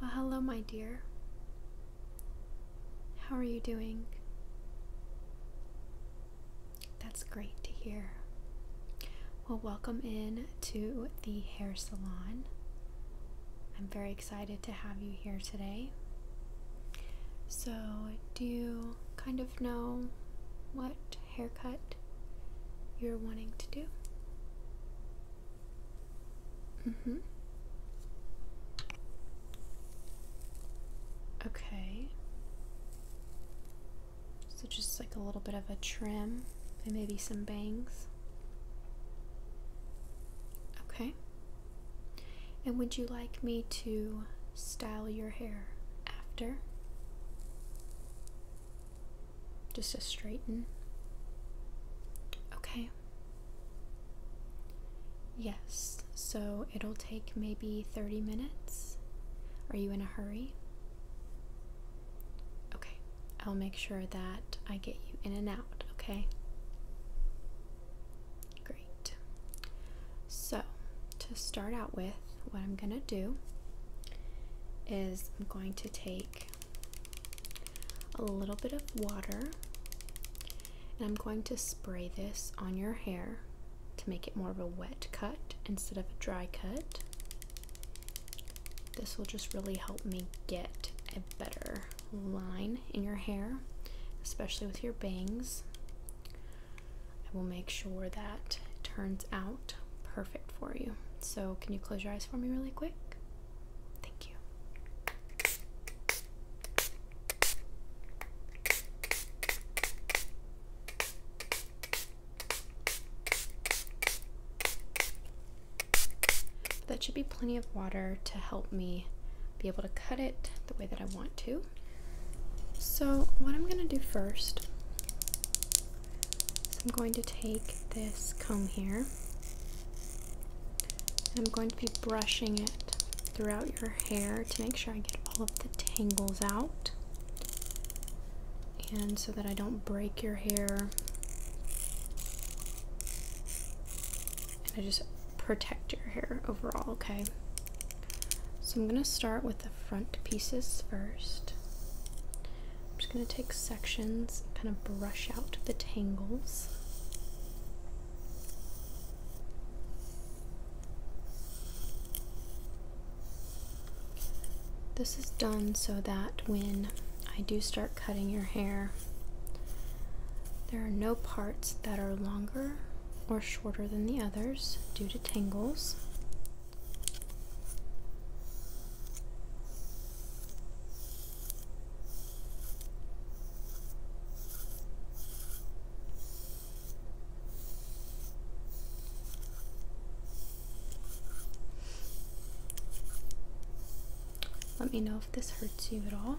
Well, hello, my dear. How are you doing? That's great to hear. Well, welcome in to the hair salon. I'm very excited to have you here today. So, do kind of know what haircut you're wanting to do. Mm hmm. Okay. So just like a little bit of a trim and maybe some bangs. Okay. And would you like me to style your hair after? Just a straighten? Okay. Yes, so it'll take maybe 30 minutes. Are you in a hurry? Okay, I'll make sure that I get you in and out, okay? Great. So, to start out with, what I'm going to do is I'm going to take a little bit of water and I'm going to spray this on your hair to make it more of a wet cut instead of a dry cut. This will just really help me get a better line in your hair, especially with your bangs. I will make sure that it turns out perfect for you. So, can you close your eyes for me really quick? Thank you. That should be plenty of water to help me be able to cut it the way that I want to. So, what I'm going to do first is I'm going to take this comb here and I'm going to be brushing it throughout your hair to make sure I get all of the tangles out and so that I don't break your hair. And I just protect your hair overall, okay? So I'm going to start with the front pieces first. I'm just going to take sections and kind of brush out the tangles. This is done so that when I do start cutting your hair, there are no parts that are longer or shorter than the others due to tangles. Let me know if this hurts you at all.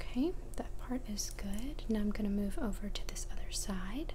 Okay, that part is good. Now I'm going to move over to this other side.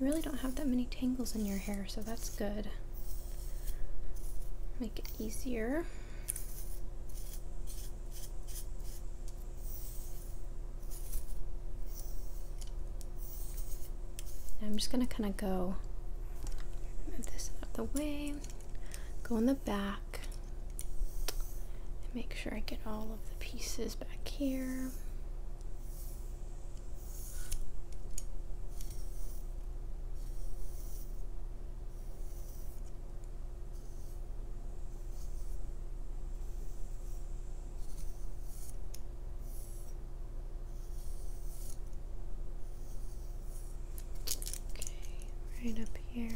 You really don't have that many tangles in your hair, so that's good. Make it easier. I'm just gonna kind of go move this out of the way, go in the back, and make sure I get all of the pieces back here. Okay, right up here.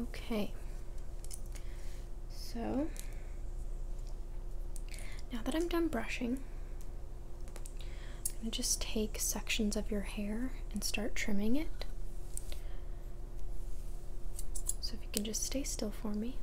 Okay, so now that I'm done brushing, I'm going to just take sections of your hair and start trimming it. So if you can just stay still for me.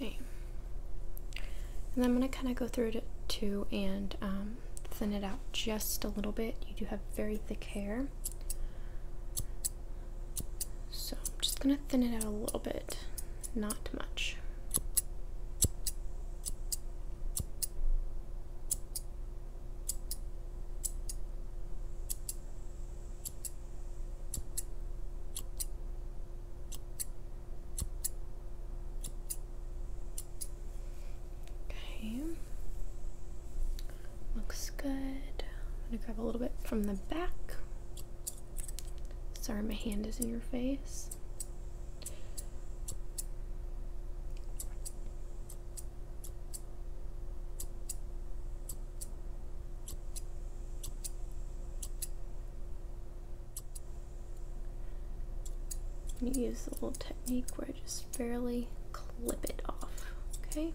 Okay. And I'm going to kind of go through it too and um, thin it out just a little bit. You do have very thick hair. So I'm just going to thin it out a little bit, not much. Okay. Looks good. I'm gonna grab a little bit from the back. Sorry, my hand is in your face. I'm gonna use a little technique where I just barely clip it off, okay?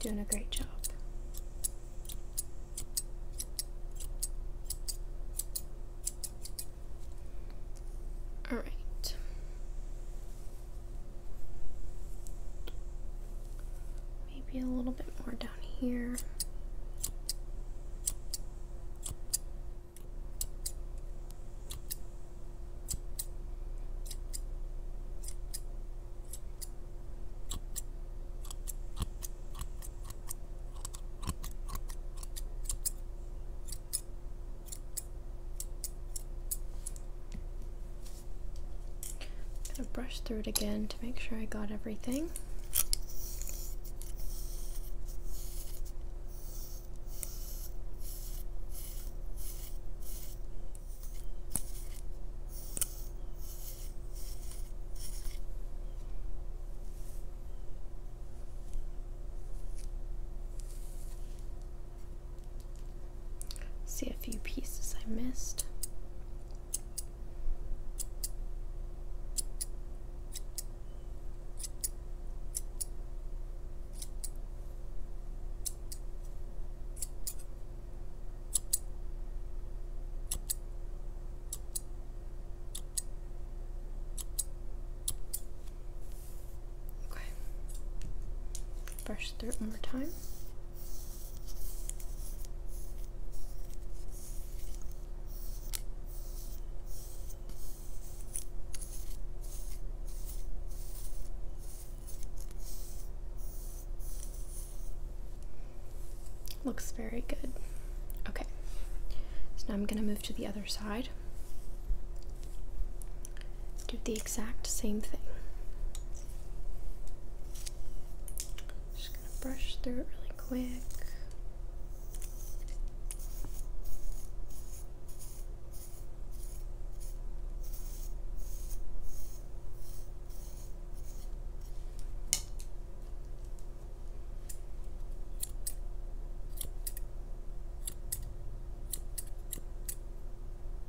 Doing a great job. All right. Maybe a little bit more down here. I'm gonna brush through it again to make sure I got everything. See a few pieces I missed. Okay. Brush through it one more time. Looks very good. Okay. So now I'm going to move to the other side do the exact same thing. Just gonna brush through it really quick.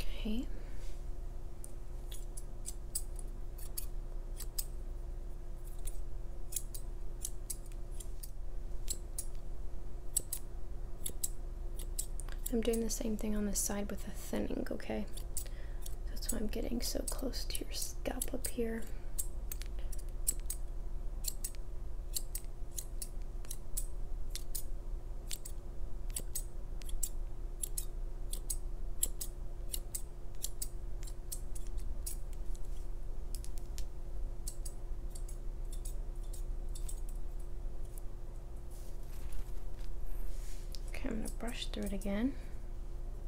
Okay. I'm doing the same thing on the side with a thinning, okay? That's why I'm getting so close to your scalp up here. Okay, I'm going to brush through it again.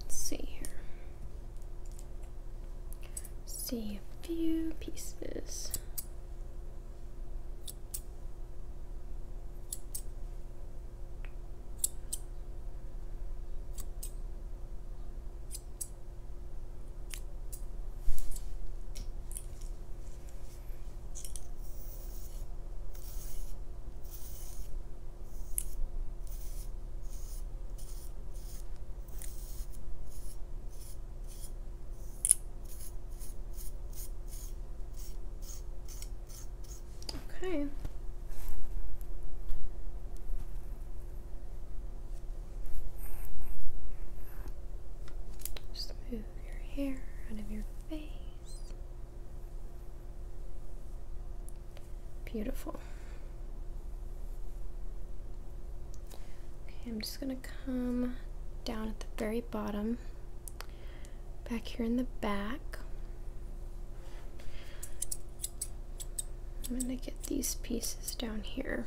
Let's see here. See a few pieces. Okay. Just your hair out of your face. Beautiful. Okay, I'm just gonna come down at the very bottom, back here in the back. I'm gonna get these pieces down here.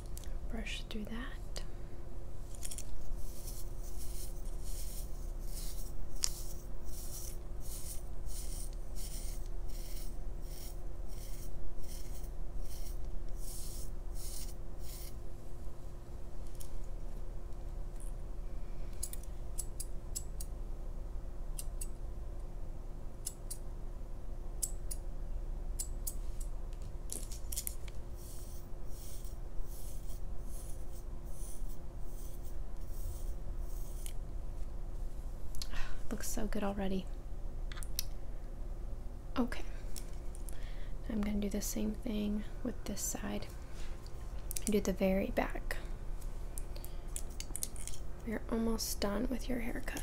brush through that. Looks so good already. Okay. I'm going to do the same thing with this side. Do the very back. You're almost done with your haircut.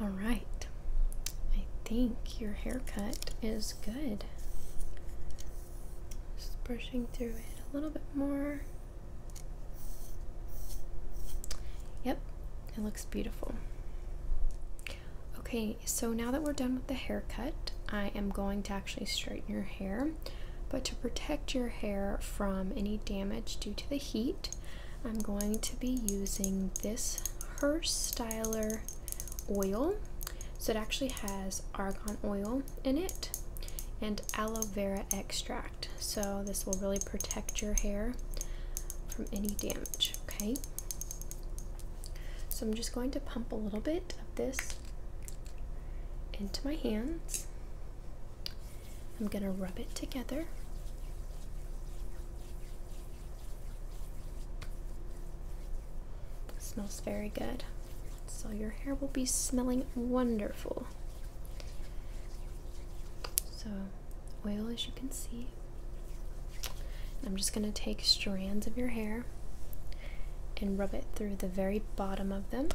All right, I think your haircut is good. Just brushing through it a little bit more. Yep, it looks beautiful. Okay, so now that we're done with the haircut, I am going to actually straighten your hair. But to protect your hair from any damage due to the heat, I'm going to be using this Hearst Styler oil. So it actually has argan oil in it and aloe vera extract. So this will really protect your hair from any damage, okay? So I'm just going to pump a little bit of this into my hands. I'm going to rub it together. smells very good. So your hair will be smelling wonderful. So, oil as you can see. I'm just going to take strands of your hair and rub it through the very bottom of them.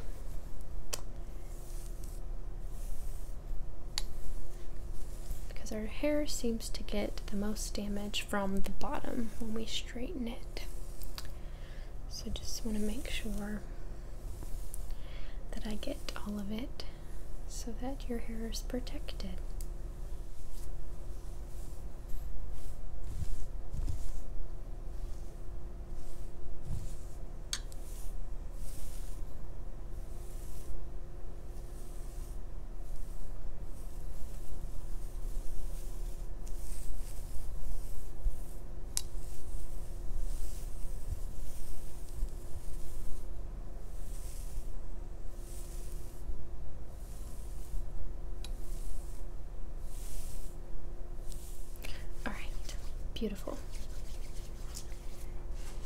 Because our hair seems to get the most damage from the bottom when we straighten it. So just want to make sure that I get all of it so that your hair is protected. All right, beautiful.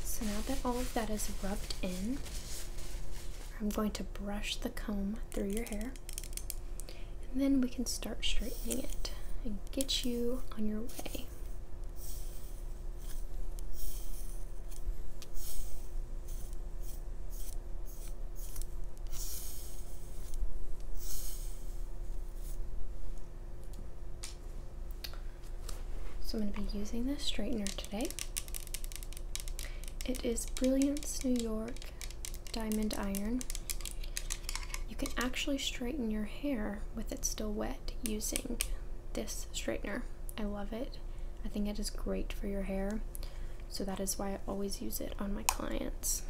So now that all of that is rubbed in, I'm going to brush the comb through your hair and then we can start straightening it and get you on your way. So I'm going to be using this straightener today. It is Brilliance New York Diamond Iron. You can actually straighten your hair with it still wet using this straightener. I love it. I think it is great for your hair. So that is why I always use it on my clients.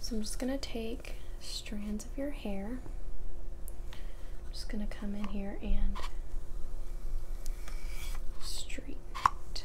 So I'm just going to take strands of your hair. I'm just going to come in here and straighten it.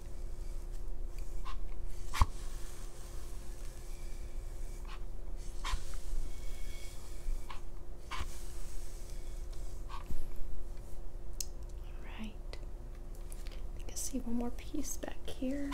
Alright. I can see one more piece back here.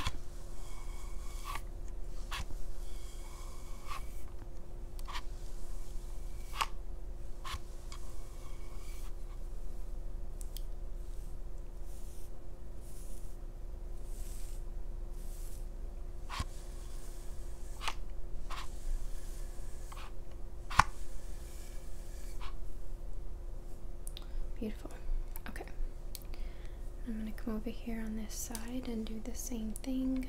Beautiful. Okay. I'm going to come over here on this side and do the same thing.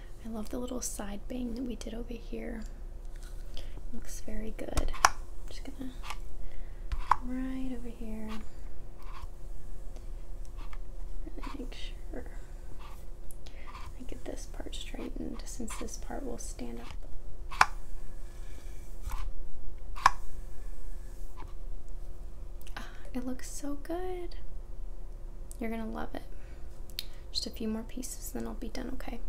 I love the little side bang that we did over here. Looks very good. I'm just gonna right over here. Really make sure I get this part straightened since this part will stand up ah, It looks so good. You're gonna love it. Just a few more pieces, then I'll be done, okay?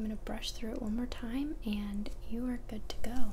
I'm going to brush through it one more time, and you are good to go.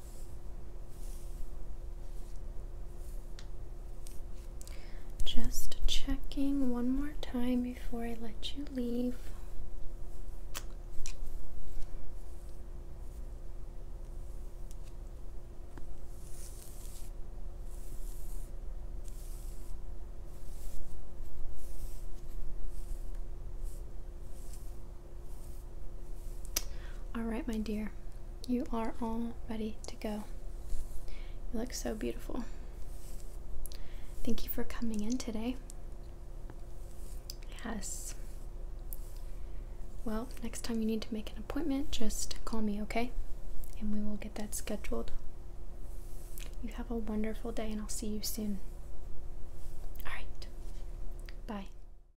Just checking one more time before I let you leave. All right, my dear, you are all ready to go. You look so beautiful. Thank you for coming in today. Yes. Well, next time you need to make an appointment, just call me, okay? And we will get that scheduled. You have a wonderful day, and I'll see you soon. All right. Bye.